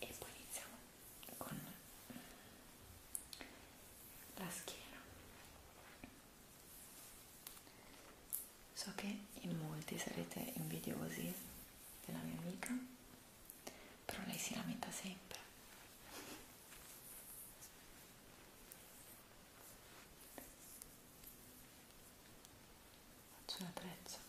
e poi iniziamo con la schiena so che in molti sarete invidiosi della mia amica però lei si lamenta sempre faccio un attrezzo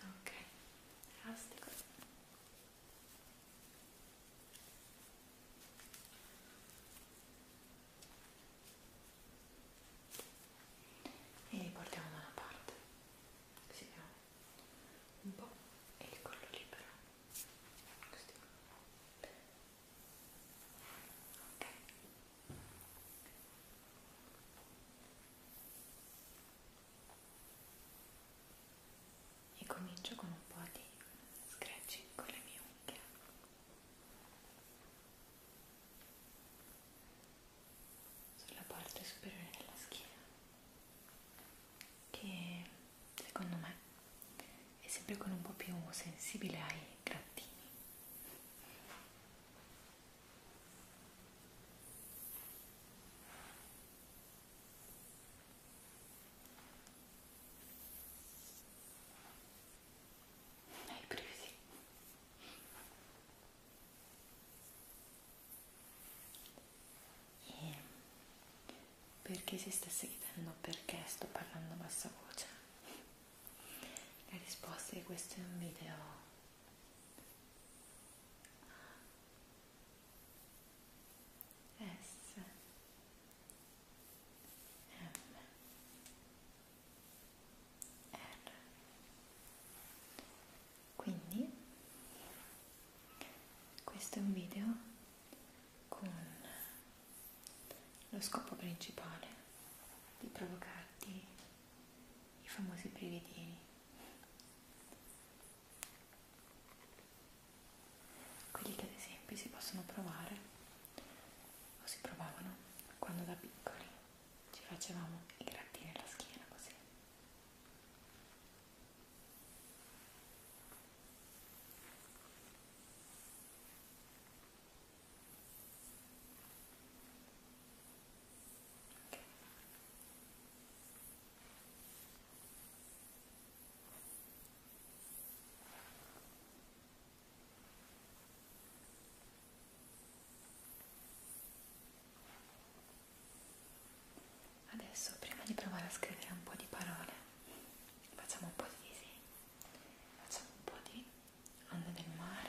ok fantastico e portiamo da una parte così abbiamo un po' e il collo libero così ok e comincio con un po' di scratching con le mie unghie sulla parte superiore della schiena che secondo me è sempre con un po' più sensibile ai grattini hai brividi. E perché si stesse chiedendo perché sto parlando a bassa voce? La risposta è che questo è un video S M R quindi questo è un video con lo scopo principale di provocarti i famosi brividini. Quelli che ad esempio si possono provare o si provavano quando da piccoli ci facevamo i grattini alla schiena così. Ora Adesso prima di provare a scrivere un po' di parole, facciamo un po' di disegni, facciamo un po' di onde del mare.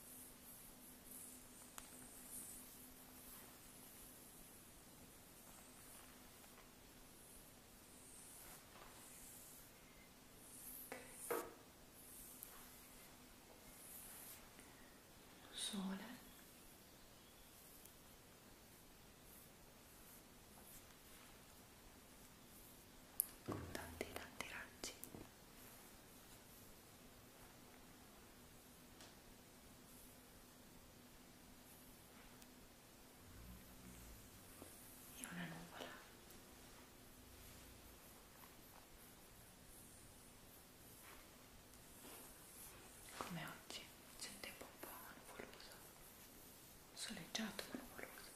Sole. Tanti tanti raggi e una nuvola come oggi c'è un tempo un po' nuvoloso soleggiato ma nuvoloso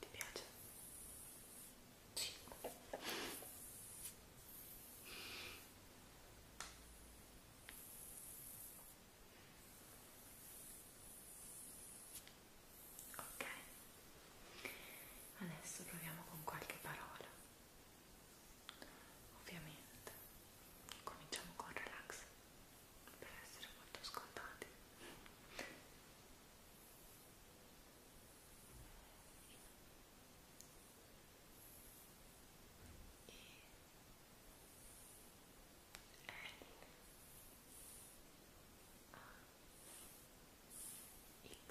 Ti piace? Sì. Ok, adesso proviamo con qualche parola Ovviamente cominciamo con relax per essere molto scontati. E... L. A. X.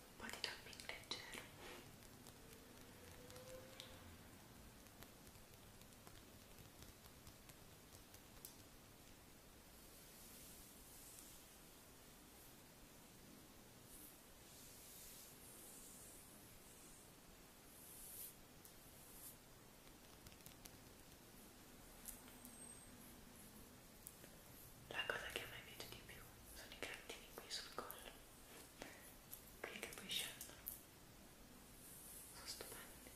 un po' di tapping leggero la cosa che a me piace di più sono i grattini qui sul collo, qui che poi scendono, sono stupendi.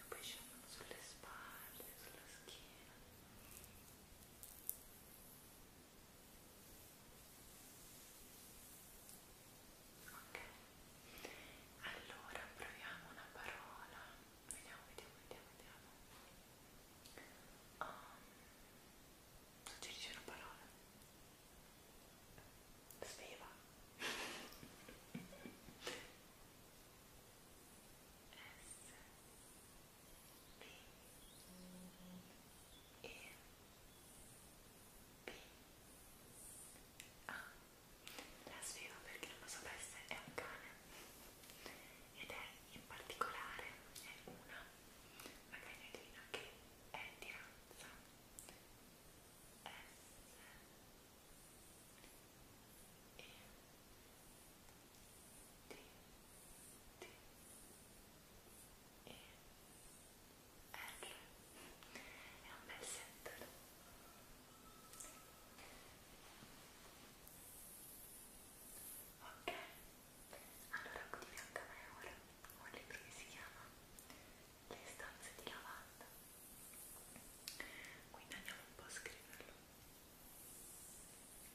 E poi scendono sulle spalle, sulla schiena. Ok, allora proviamo una parola. Vediamo, vediamo, vediamo, vediamo. Um, ehm, suggerisci una parola. Sveva. S e P A La sfido perché non lo sapesse è un cane ed è in particolare è una una cagnolina che è di razza S e T T e R è un bel settore ok allora qui di fianco a me ora un libro che si chiama Le stanze di lavanda quindi andiamo un po' a scriverlo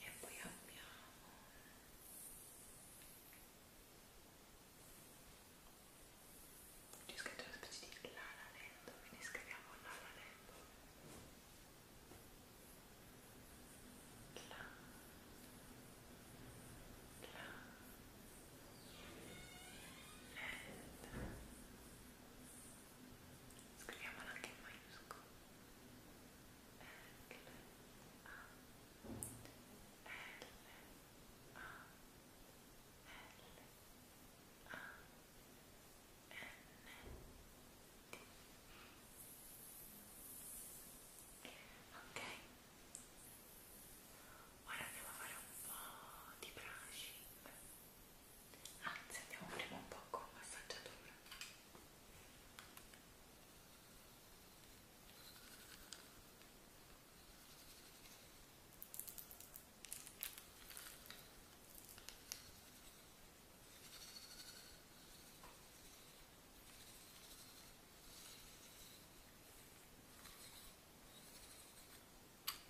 e poi abbiamo c'è scritto una specie di lana lento quindi scriviamo lana lento la la lenta scriviamola anche in maiuscolo L A L A L A N D ok ora andiamo a fare un po' di brushing Anzi, andiamo prima un po' con massaggiatore. Ecco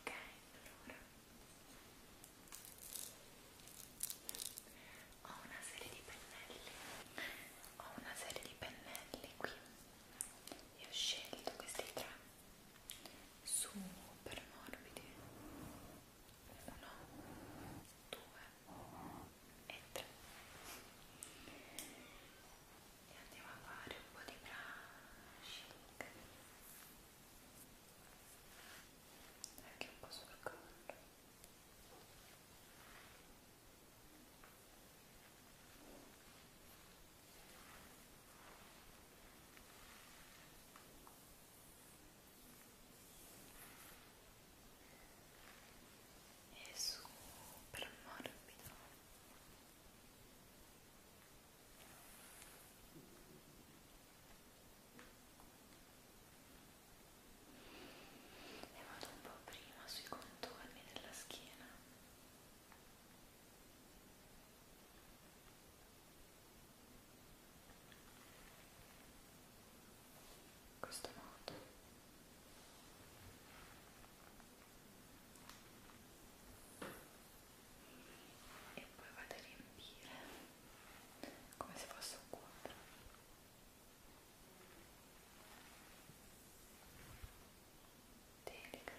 Ok, allora ho una serie di pennelli, ho una serie di pennelli qui e ho scelto questi tre super morbidi 1, 2 e 3 e andiamo a fare un po' di brushing anche un po' sul collo Ecco è super morbido e vado un po' prima sui contorni della schiena in questo modo e poi vado a riempire come se fosse un quadro delicatamente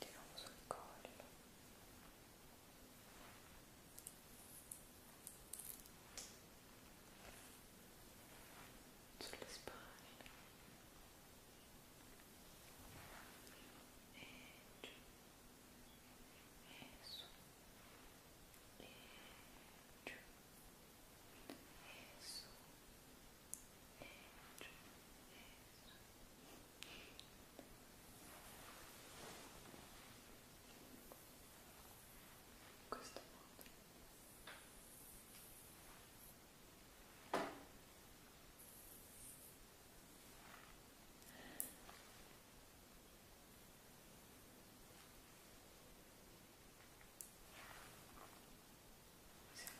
tiriamo sul collo sulle spalle e giù e su e giù e su e in questo modo siamo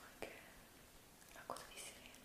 anche la coda di sirena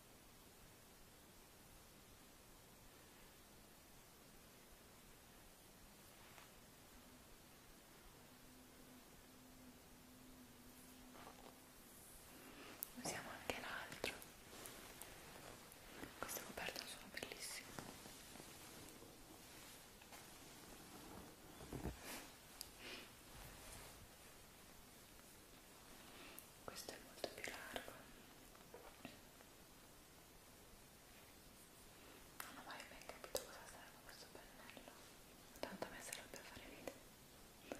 Usiamo anche l'altro. Queste coperte sono bellissime questo è molto più largo non ho mai ben capito cosa serve questo pennello tanto a me serve per fare video Ecco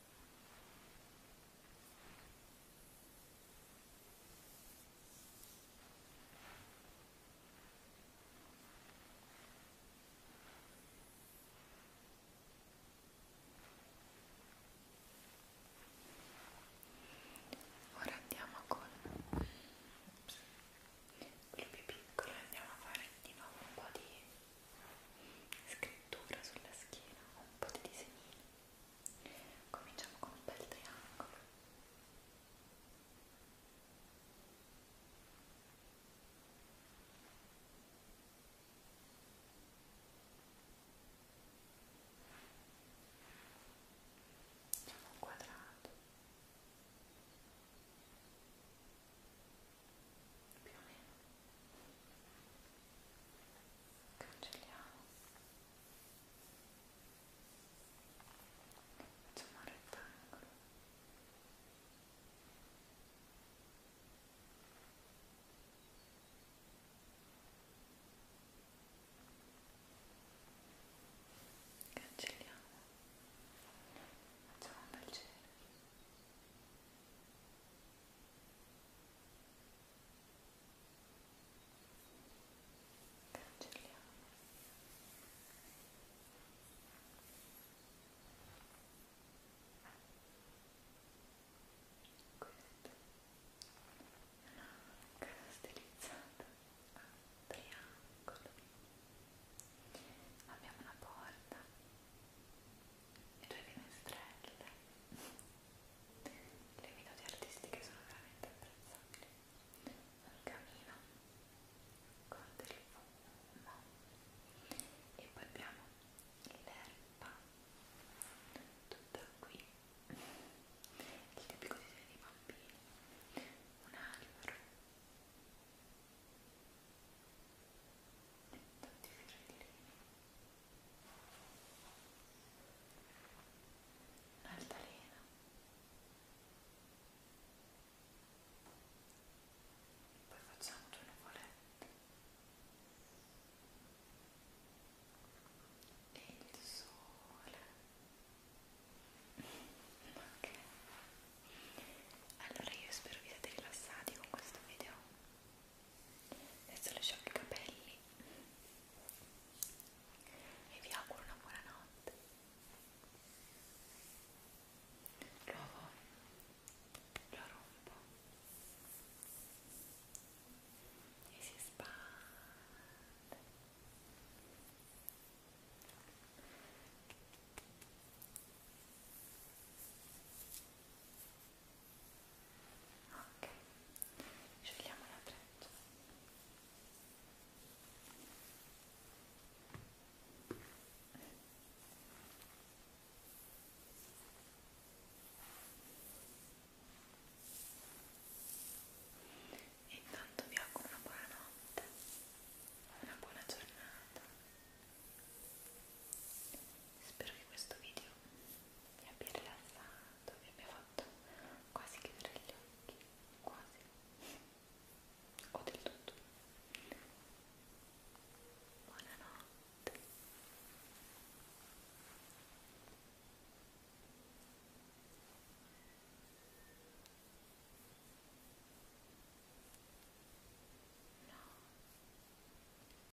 Ora andiamo con quello più piccolo e andiamo a fare di nuovo un po' di scrittura sulla schiena, un po' di disegnini. Cominciamo con un bel triangolo. Facciamo un quadrato più o meno cancelliamo facciamo un rettangolo cancelliamo facciamo un bel giro cancelliamo questa è una casa stilizzata a triangolo abbiamo una porta le tue finestrelle le minuti artistiche sono veramente apprezzabili un camino con del fumo e poi abbiamo l'erba tutta qui il tipico disegno dei bambini un albero tanti fiorellini un'altalena poi facciamo due nuvolette e il sole ok allora io spero vi siate rilassati con questo video adesso le sciocco i capelli e vi auguro una buona notte Provo, lo rompo e si spande ok sciogliamo la treccia e intanto vi auguro una buona notte una buona giornata Spero che questo video vi abbia rilassato, vi abbia fatto quasi chiudere gli occhi, quasi, o del tutto. Buonanotte. No.